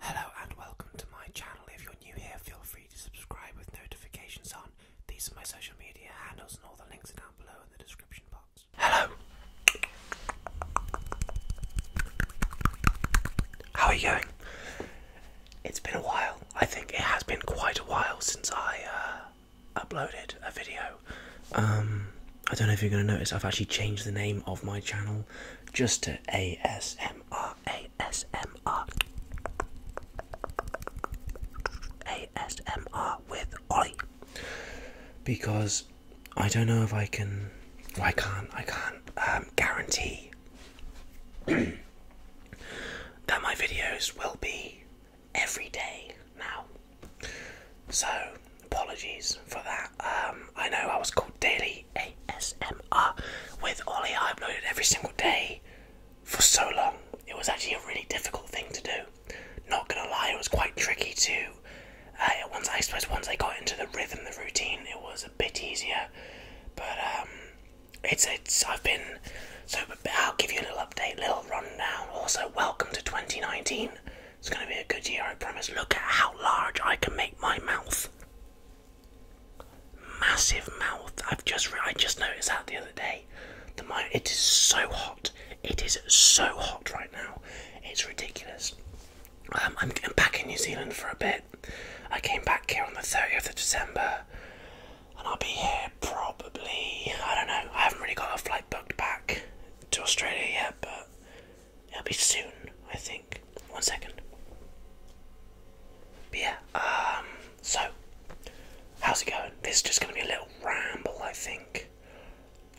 Hello and welcome to my channel. If you're new here, feel free to subscribe with notifications on. These are my social media handles, and all the links are down below in the description box. Hello! How are you going? It's been a while. I think it has been quite a while since I uh, uploaded a video. Um, I don't know if you're going to notice, I've actually changed the name of my channel just to ASMR. ASMR, ASMR, with Ollie. Because I don't know if I can, I can't, I can't um, guarantee that my videos will be every day now. So, apologies for that. Um, I know I was called Daily ASMR with Ollie. I uploaded every single day for so long. It was actually a really difficult thing to do. Not gonna lie, it was quite tricky too. Uh, once I suppose once I got into the rhythm, the routine, it was a bit easier. But um, it's it's I've been so. I'll give you a little update, little rundown. Also, welcome to 2019. It's gonna be a good year, I promise. Look at how large I can make my mouth. Massive mouth. I've just I just noticed that the other day. The it is so hot. It is so hot right now. It's ridiculous. Um, I'm, I'm back in New Zealand for a bit. I came back here on the 30th of December, and I'll be here probably. I don't know. I haven't really got a flight booked back to Australia yet, but It'll be soon, I think. One second. yeah, um, so, how's it going? This is just going to be a little ramble, I think.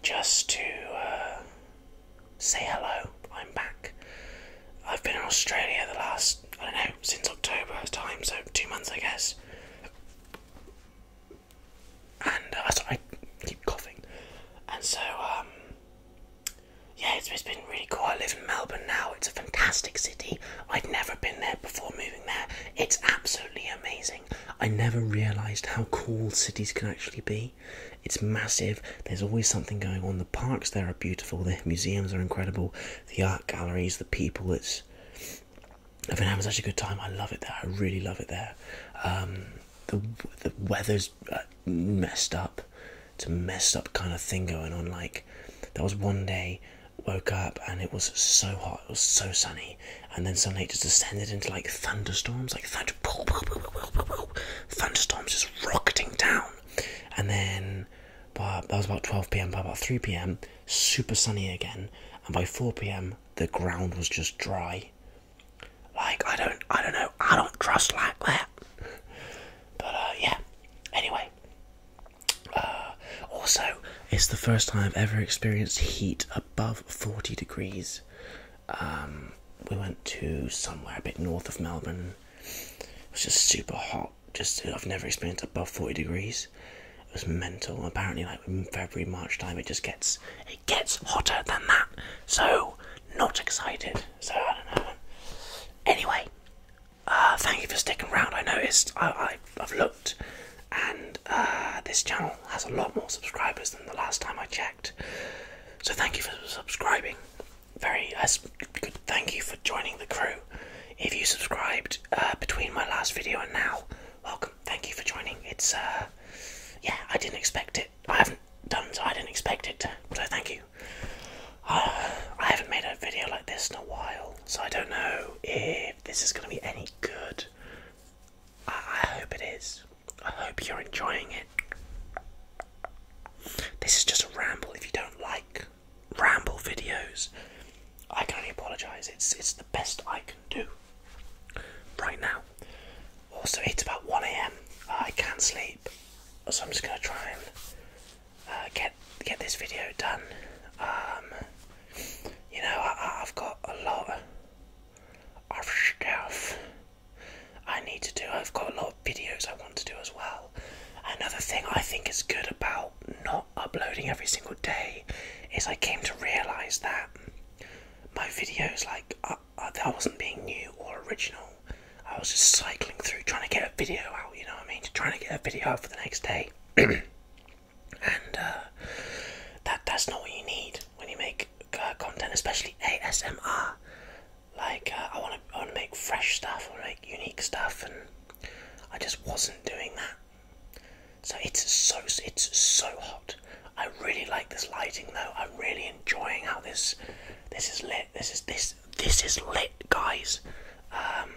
Just to uh, say hello. I'm back. I've been in Australia the last, I don't know, since October time, so two months, I guess. And uh, I keep coughing. And so, um, yeah, it's been really cool. I live in Melbourne now. It's a fantastic city. I'd never been there before moving there. It's absolutely amazing. I never realised how cool cities can actually be. It's massive. There's always something going on. The parks there are beautiful. The museums are incredible. The art galleries, the people. It's I've been having such a good time. I love it there. I really love it there. Um, the weather's uh, messed up. It's a messed up kind of thing going on. Like, there was one day, woke up and it was so hot, it was so sunny, and then suddenly it just descended into like thunderstorms, like thunder, thunderstorms just rocketing down. And then, but that was about 12 pm, by about 3 pm, super sunny again, and by 4 pm, the ground was just dry. Like I don't, I don't know, I don't trust like that. But uh, yeah. Anyway, uh, also it's the first time I've ever experienced heat above forty degrees. Um, we went to somewhere a bit north of Melbourne. It was just super hot. Just I've never experienced above forty degrees. It was mental. Apparently, like in February, March time, it just gets it gets hotter than that. So not excited. So I don't know. Anyway, uh, thank you for sticking around. I noticed I, have looked, and uh, this channel has a lot more subscribers than the last time I checked. So thank you for subscribing. Very uh, Thank you for joining the crew. If you subscribed uh, between my last video and now, welcome. Thank you for joining. It's yeah, I didn't expect it. I haven't done so. I didn't expect it. So thank you. I haven't made a video like this in a while, so I don't know if this is going to be any good. I, I hope it is. I hope you're enjoying it. This is just a ramble. If you don't like ramble videos, I can only apologise. It's it's the best I can do right now. Also, it's about 1 a.m. I can't sleep, so I'm just gonna try and uh, get get this video done. Um, you know, I, have got a lot of stuff I need to do. I've got a lot of videos I want to do as well. Another thing I think is good about not uploading every single day is I came to realise that my videos, like, I, uh, I uh, wasn't being new or original. I was just cycling through trying to get a video out, you know what I mean? Trying to get a video out for the next day. and uh, that that's not what you need when you make uh, content, especially ASMR. Like, uh, I want to I wanna make fresh stuff, I want to make unique stuff, and I just wasn't doing that. So it's so it's so hot. I really like this lighting though. I'm really enjoying how this this is lit. This is this this is lit, guys. Um,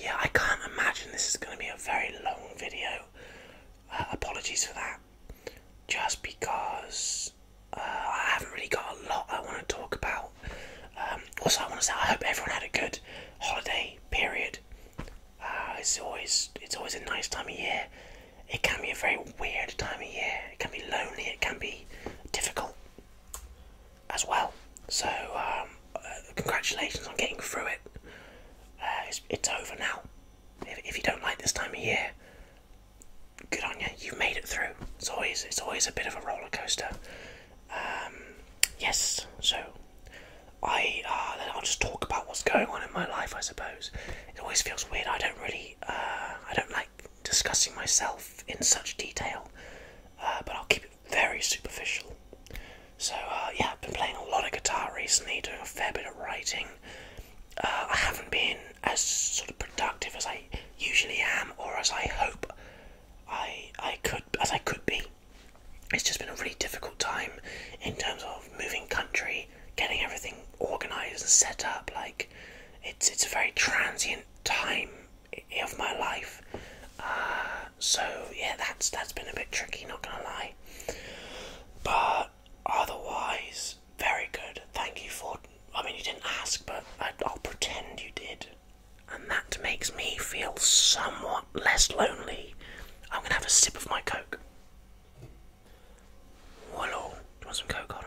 yeah, I can't imagine this is going to be a very long video. Uh, apologies for that. Just because uh, I haven't really got a lot I want to talk about. Um, also, I want to say I hope everyone had a good holiday period. Uh, it's always it's always a nice time of year. It can be a very weird time of year. It can be lonely. It can be difficult as well. So, um, uh, congratulations on getting through it. Uh, it's, it's over now. If, if you don't like this time of year, good on you. You've made it through. It's always it's always a bit of a roller coaster. Um, yes. So, I uh, I'll just talk about what's going on in my life. I suppose it always feels weird. I don't really uh, I don't like discussing myself in such detail, uh, but I'll keep it very superficial. So, uh, yeah, I've been playing a lot of guitar recently, doing a fair bit of writing. Uh, I haven't been as sort of productive as I usually am, or as I hope I I could as I could be. It's just been a really difficult time in terms of moving country, getting everything organised and set up. Like, it's it's a very transient time of my life. Uh, so yeah, that's that's been a bit tricky, not gonna lie. But otherwise, very good. Thank you for. I mean, you didn't ask, but I, will pretend you did, and that makes me feel somewhat less lonely. I'm gonna have a sip of my coke. Hello, do you want some coke? Hold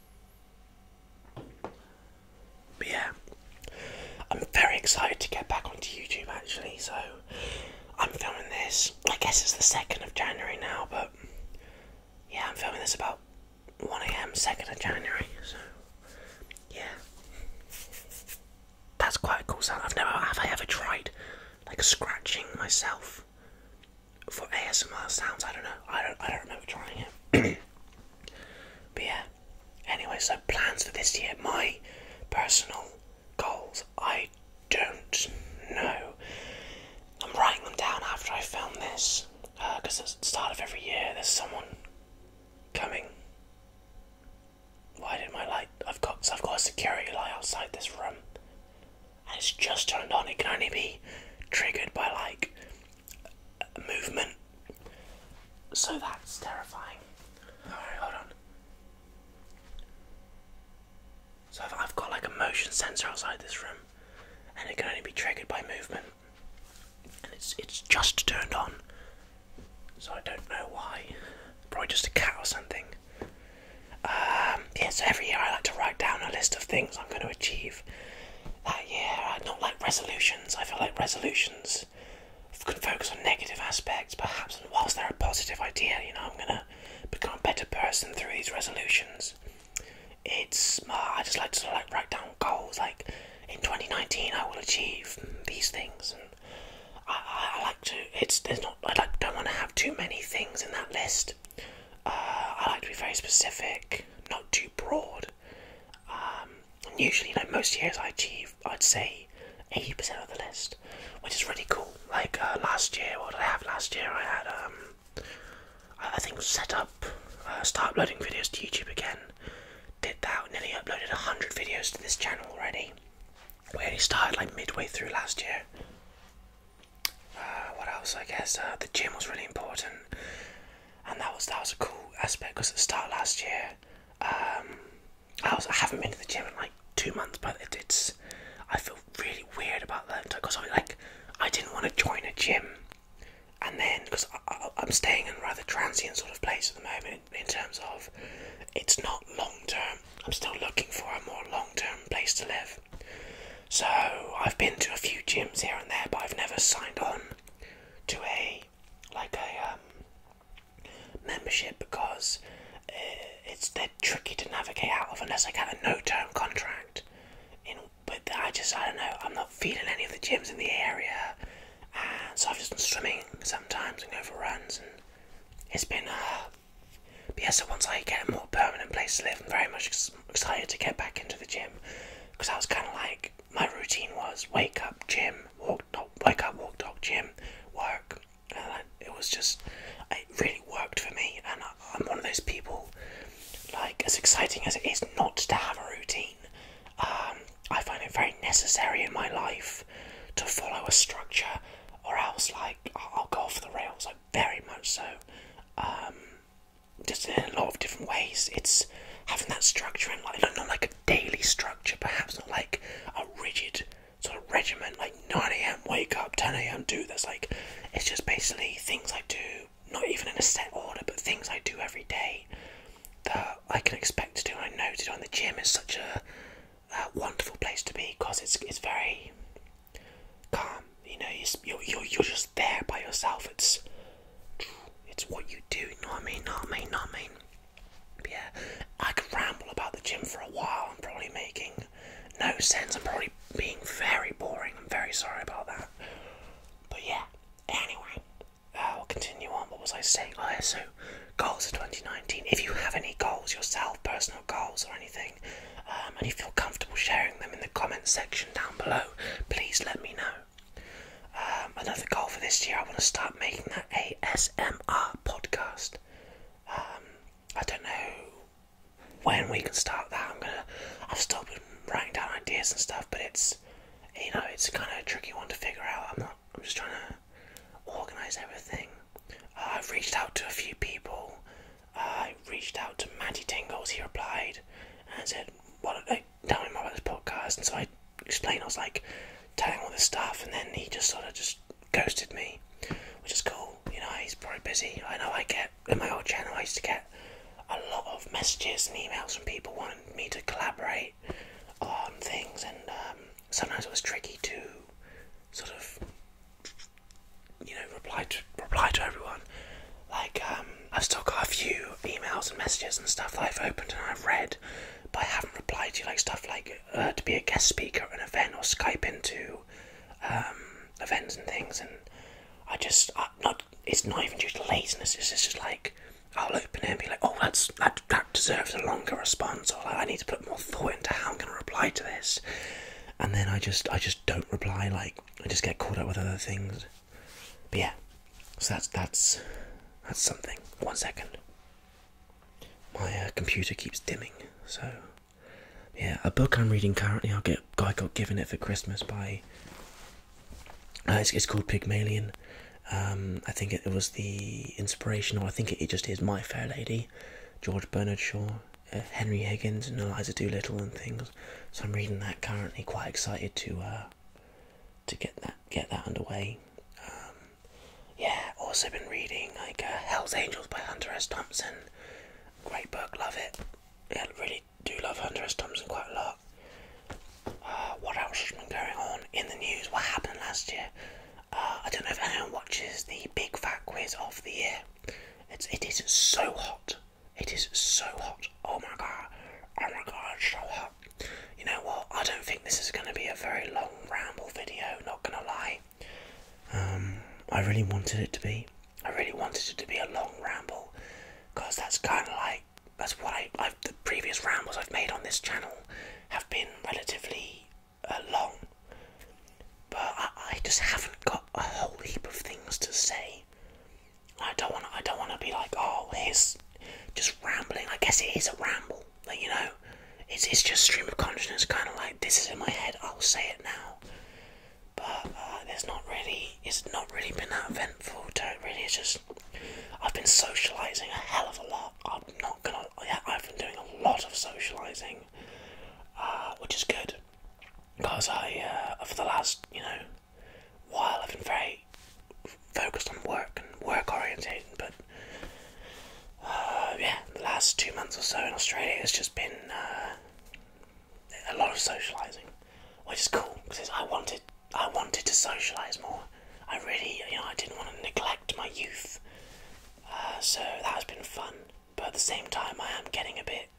But yeah, I'm very excited to get back onto YouTube actually. So I'm filming this. I guess it's the second of January now, but yeah, I'm filming this about 1 a.m. second of January. So yeah, that's quite a cool sound. I've never have I ever tried like scratching myself for ASMR sounds. I don't know. I don't. I don't remember trying it. But yeah, anyway, so plans for this year, my personal goals, I don't know. I'm writing them down after I film this, because uh, at the start of every year there's someone coming. Why did my light? I've got I've got a security light outside this room, and it's just turned on. It can only be triggered by like movement. So that's terrifying. Alright, hold on. So I've got like a motion sensor outside this room, and it can only be triggered by movement. And it's it's just turned on, so I don't know why. Probably just a cat or something. Um, yeah, so every year I like to write down a list of things I'm going to achieve that year. I not like resolutions. I feel like resolutions can focus on negative aspects, perhaps, and whilst they're a positive idea, you know, I'm gonna become a better person through these resolutions. It's I just like to like write down goals, like in 2019 I will achieve these things, and I, like to. It's there's not I don't want to have too many things in that list. Uh, I like to be very specific, not too broad. Um, and usually, like most years, I achieve, I'd say, 80% of the list, which is really cool. Like uh, last year, what did I have last year? I had, um, I think, set up, uh, start uploading videos to YouTube again. Did that, nearly uploaded 100 videos to this channel already. We only started like midway through last year. Uh, what else? I guess the gym was really important and that was that was a cool aspect because at the start last year, um, I was I haven't been to the gym in like two months, but it's I feel really weird about that because I like I didn't want to join a gym, and then because I'm staying in a rather transient sort of place at the moment in terms of it's not long term. I'm still looking for a more long term place to live. So I've been to a few gyms here and there, but I've never signed on to a like a um, membership because uh, it's they're tricky to navigate out of unless I get a no-term contract. You know, but I just I don't know. I'm not feeling any of the gyms in the area, so I've just been swimming sometimes and go for runs, and it's been. Uh, but yeah, so once I get a more permanent place to live, I'm very much excited to get back into the gym because I was kind of like my routine was wake up, gym, walk, dog, wake up, walk, dog, gym, work, it was just it really worked for me. And I, am one of those people, like as exciting as it is not to have a routine, um, I find it very necessary in my life to follow a structure, or else like I'll go off the rails. Like very much so. Um, just in a lot of different ways. It's having that structure and like not like a daily structure, perhaps not like a rigid sort of regimen. like 9 a.m. wake up, 10 a.m. do this. Like it's just basically things I do, not even in a set order, but things I do every day that I can expect to do. I know that do. the gym is such a, wonderful place to be because it's it's very calm. You know, you're, you you're just there by yourself. It's it's what you do, not me, Not me, not me. yeah, I could ramble about the gym for a while. I'm probably making no sense. I'm probably being very boring. I'm very sorry about that. But yeah, anyway, i uh, will continue on. What was I saying? I oh, said so goals for 2019. If you have any goals yourself, personal goals or anything, um, and you feel comfortable sharing them in the comments section down below, please let me know. Um, another goal for this year, I want to start making that ASMR podcast. Um, I don't know when we can start that. I'm gonna. I've started writing down ideas and stuff, but it's you know it's kind of a tricky one to figure out. I'm not. I'm just trying to organize everything. Uh, I've reached out to a few people. Uh, I reached out to Maddie Tingles. He replied and said, "What? Well, down with my brother's podcast, and so I explained, I was like telling all this stuff, and then he just sort of just ghosted me, which is cool. You know, he's probably busy. I know I get in my old channel, I used to get a lot of messages and emails from people wanting me to collaborate on things, and um, sometimes it was tricky to sort of you know reply to reply to everyone. Like, um, I've still got a few emails and messages and stuff that I've opened and I've read, but I haven't replied to. Like stuff like uh, to be a guest speaker at an event or Skype into um, events and things, and I just not. It's not even due to laziness. It's just like I'll open it and be like, oh, that's that, that deserves a longer response, or like, I need to put more thought into how I'm going to reply to this, and then I just I just don't reply. Like I just get caught up with other things. But yeah, so that's that's that's something. One second, my uh, computer keeps dimming. So yeah, a book I'm reading currently. I'll get I got given it for Christmas by. Uh, it's, called Pygmalion. Um, I think it, was the inspiration, or I think it, just is My Fair Lady, George Bernard Shaw. Uh, Henry Higgins and Eliza Doolittle and things. So I'm reading that currently. Quite excited to to get that get that underway. Um, yeah, also been reading like uh, Hell's Angels by Hunter S. Thompson. Great book, love it. really do love Hunter S. Thompson quite a lot. Uh, what else has been going on in the news? What happened last year? Uh, I don't know if anyone watches the Big Fat Quiz of the year. It's it is so hot. It is so hot. Oh my god. Oh my god, it's so hot you know what? I don't think this is going to be a very long ramble video, not going to lie. Um, I really wanted it to be. I really wanted it to be a long ramble because that's kind of like that's what the previous rambles I've made on this channel have been relatively uh, long, but I just haven't got a whole heap of things to say. I don't want. I don't want to be like, oh, here's just rambling. I guess it is a ramble. Like you know, it's it's just stream of consciousness. Kind of like this is in my head. I'll say it now. But uh, not really. It's not really been that eventful. To it really, it's just I've been socializing a hell of a lot. I'm not gonna. Yeah, I've been doing a lot of socializing, uh, which is good because I uh, for the last you know while I've been very focused on work and work orientated, but uh, yeah, the last two months or so in Australia has just been uh, a lot of socialising, which is cool because I wanted I wanted to socialise more. I really, you know, I didn't want to neglect my youth, uh, so that has been fun. But at the same time, I am getting a bit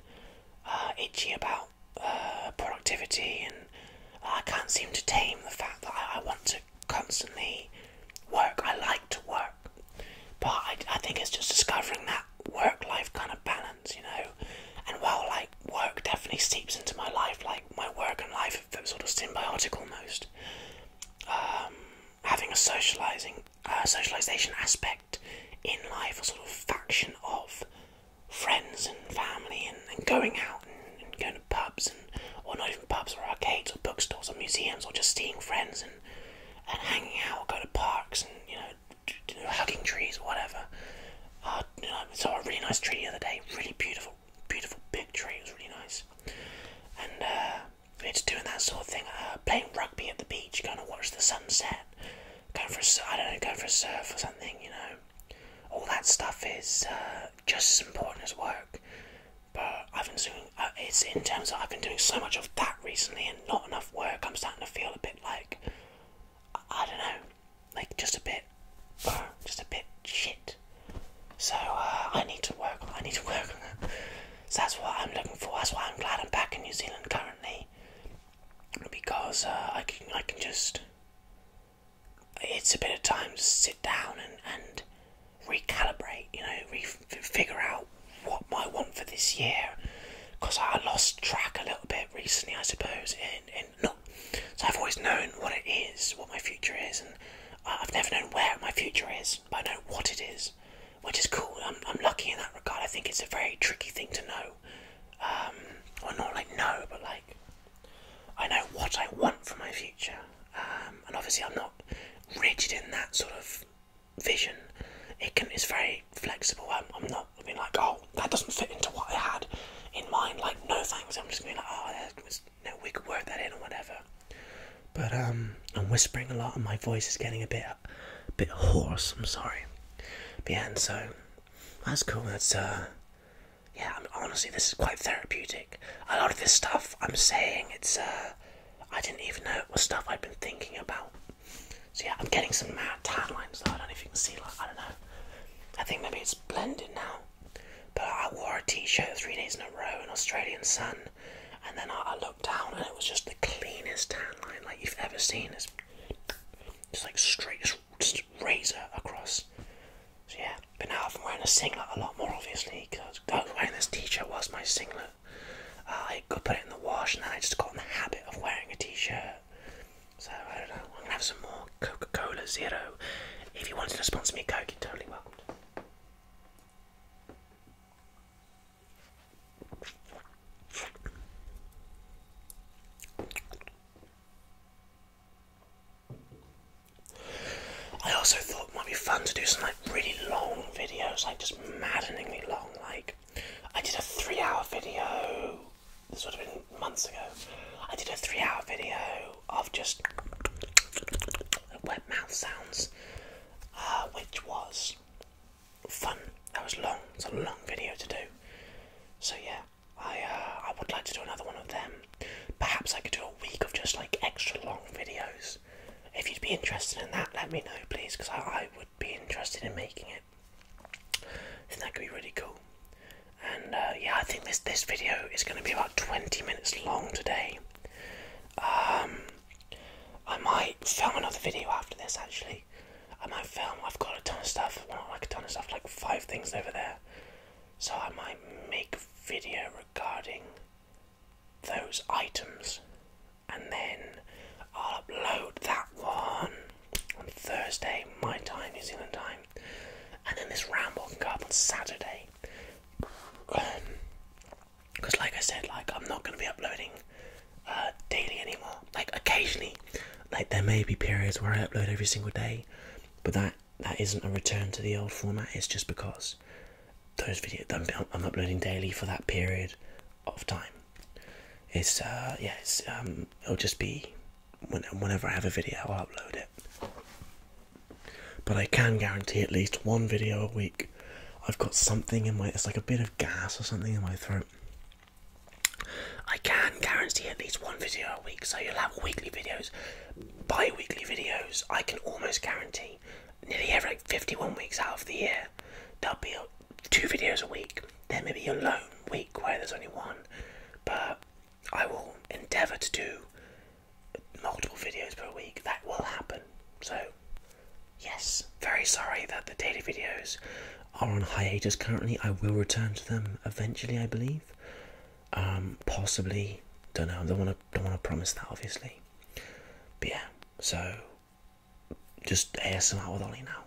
itchy about uh, productivity, and I can't seem to tame the fact that I, want to constantly work. I like to work, but I, I think it's just discovering that work-life kind of balance, you know. And while like work definitely seeps into my life, like my work and life are sort of symbiotic almost. Um, having a socializing, uh, socialization aspect in life, a sort of faction of friends and family and, going out and, going to pubs and or not even pubs or arcades or bookstores or museums or just seeing friends and and hanging out or going to parks and you know hugging trees or whatever. Uh, I saw a really nice tree the other day, really beautiful, beautiful big tree. It was really nice, and uh, it's doing that sort of thing. Uh, playing rugby at the beach, going to watch the sunset, going for a, I don't know, going for a surf or something. You know, all that stuff is just as important as work. But I've been doing uh, in terms of I've been doing so much of that recently and not enough work. I'm starting to feel a bit like I, don't know, like just a bit, just a bit shit. So uh, I need to work. I need to work that's what I'm looking for. That's why I'm glad I'm back in New Zealand currently because uh, I can I can just it's a bit of time to sit down and, and recalibrate, you know, re figure out what I want for this year. Because I lost track a little bit recently, I suppose. And, and not, so I've always known what it is, what my future is, and I've never known where my future is, but I know what it is, which is cool. I'm, I'm lucky in that regard. I think it's a very tricky thing to know, um, or not like know, but like I know what I want for my future, um, and obviously I'm not rigid in that sort of vision. It can it's very flexible. I'm, not being like, oh, that doesn't fit into what I had in mind. Like, no thanks. I'm just being like, oh, was, no, we could work that in or whatever. But um, I'm whispering a lot, and my voice is getting a bit, bit hoarse. I'm sorry. But yeah, and so that's cool. That's uh, yeah, honestly, this is quite therapeutic. A lot of this stuff I'm saying, it's uh, I didn't even know it was stuff i had been thinking about. So yeah, I'm getting some mad tan lines though. I don't know if you can see. Like, I don't know. I think maybe it's blended now. But I wore a t-shirt three days in a row in Australian sun, and then I, looked down and it was just the cleanest tan line like you've ever seen. It's just like straight, just razor across. So yeah, but now I'm wearing a singlet a lot more, obviously, because I was wearing this t-shirt was my singlet. Uh, I could put it in the wash, and then I just got in the habit of wearing a t-shirt. So I don't know. I'm gonna have some more Coca-Cola Zero. If you wanted to sponsor me, Coke, you're totally welcome. I also thought it might be fun to do some like really long videos, like just maddeningly long. Like I did a three-hour video. This would have been months ago. I did a three-hour video of just wet mouth sounds, uh, which was fun. That was long. It's a long video to do. So yeah, I uh, I would like to do another one of them. Perhaps I could do a week of just like extra long videos. If you'd be interested in that, let me know, please, because I, I would be interested in making it. I think that could be really cool. And uh, yeah, I think this this video is going to be about 20 minutes long today. Um, I might film another video after this. Actually, I might film. I've got a ton of stuff. I've Well, like a ton of stuff, like five things over there so I might make a video regarding those items and then I'll upload that one on Thursday, my time, New Zealand time, and then this ramble can go up on Saturday. Because, um, like I said, like I'm not going to be uploading uh, daily anymore. Like occasionally, like there may be periods where I upload every single day, but that that isn't a return to the old format, it's just because those videos I'm, I'm uploading daily for that period of time. It's, uh, yes. Um, it'll just be whenever I have a video, I'll upload it. But I can guarantee at least one video a week. I've got something in my, it's like a bit of gas or something in my throat. I can guarantee at least one video a week, so you'll have weekly videos, bi-weekly videos i can almost guarantee nearly every 51 weeks out of the year there'll be two videos a week there may be a lone week where there's only one but i will endeavour to do multiple videos per week that will happen so yes very sorry that the daily videos are on hiatus currently i will return to them eventually i believe um, possibly, don't know. Don't want to. Don't want to promise that, obviously. But yeah, so just out with Ollie now.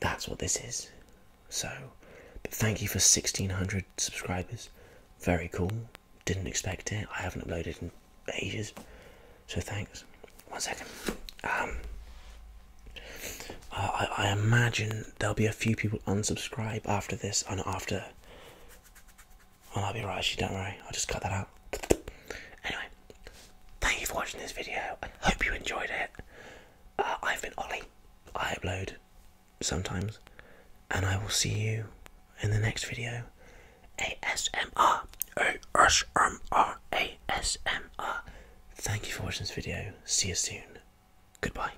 That's what this is. So, but thank you for sixteen hundred subscribers. Very cool. Didn't expect it. I haven't uploaded in ages, so thanks. One second. Um, I, I imagine there'll be a few people unsubscribe after this and after well, I'll be right, actually, don't worry. I'll just cut that out. Anyway, thank you for watching this video. I hope you enjoyed it. Uh, I've been Ollie. I upload sometimes. And I will see you in the next video. ASMR. Thank you for watching this video. See you soon. Goodbye.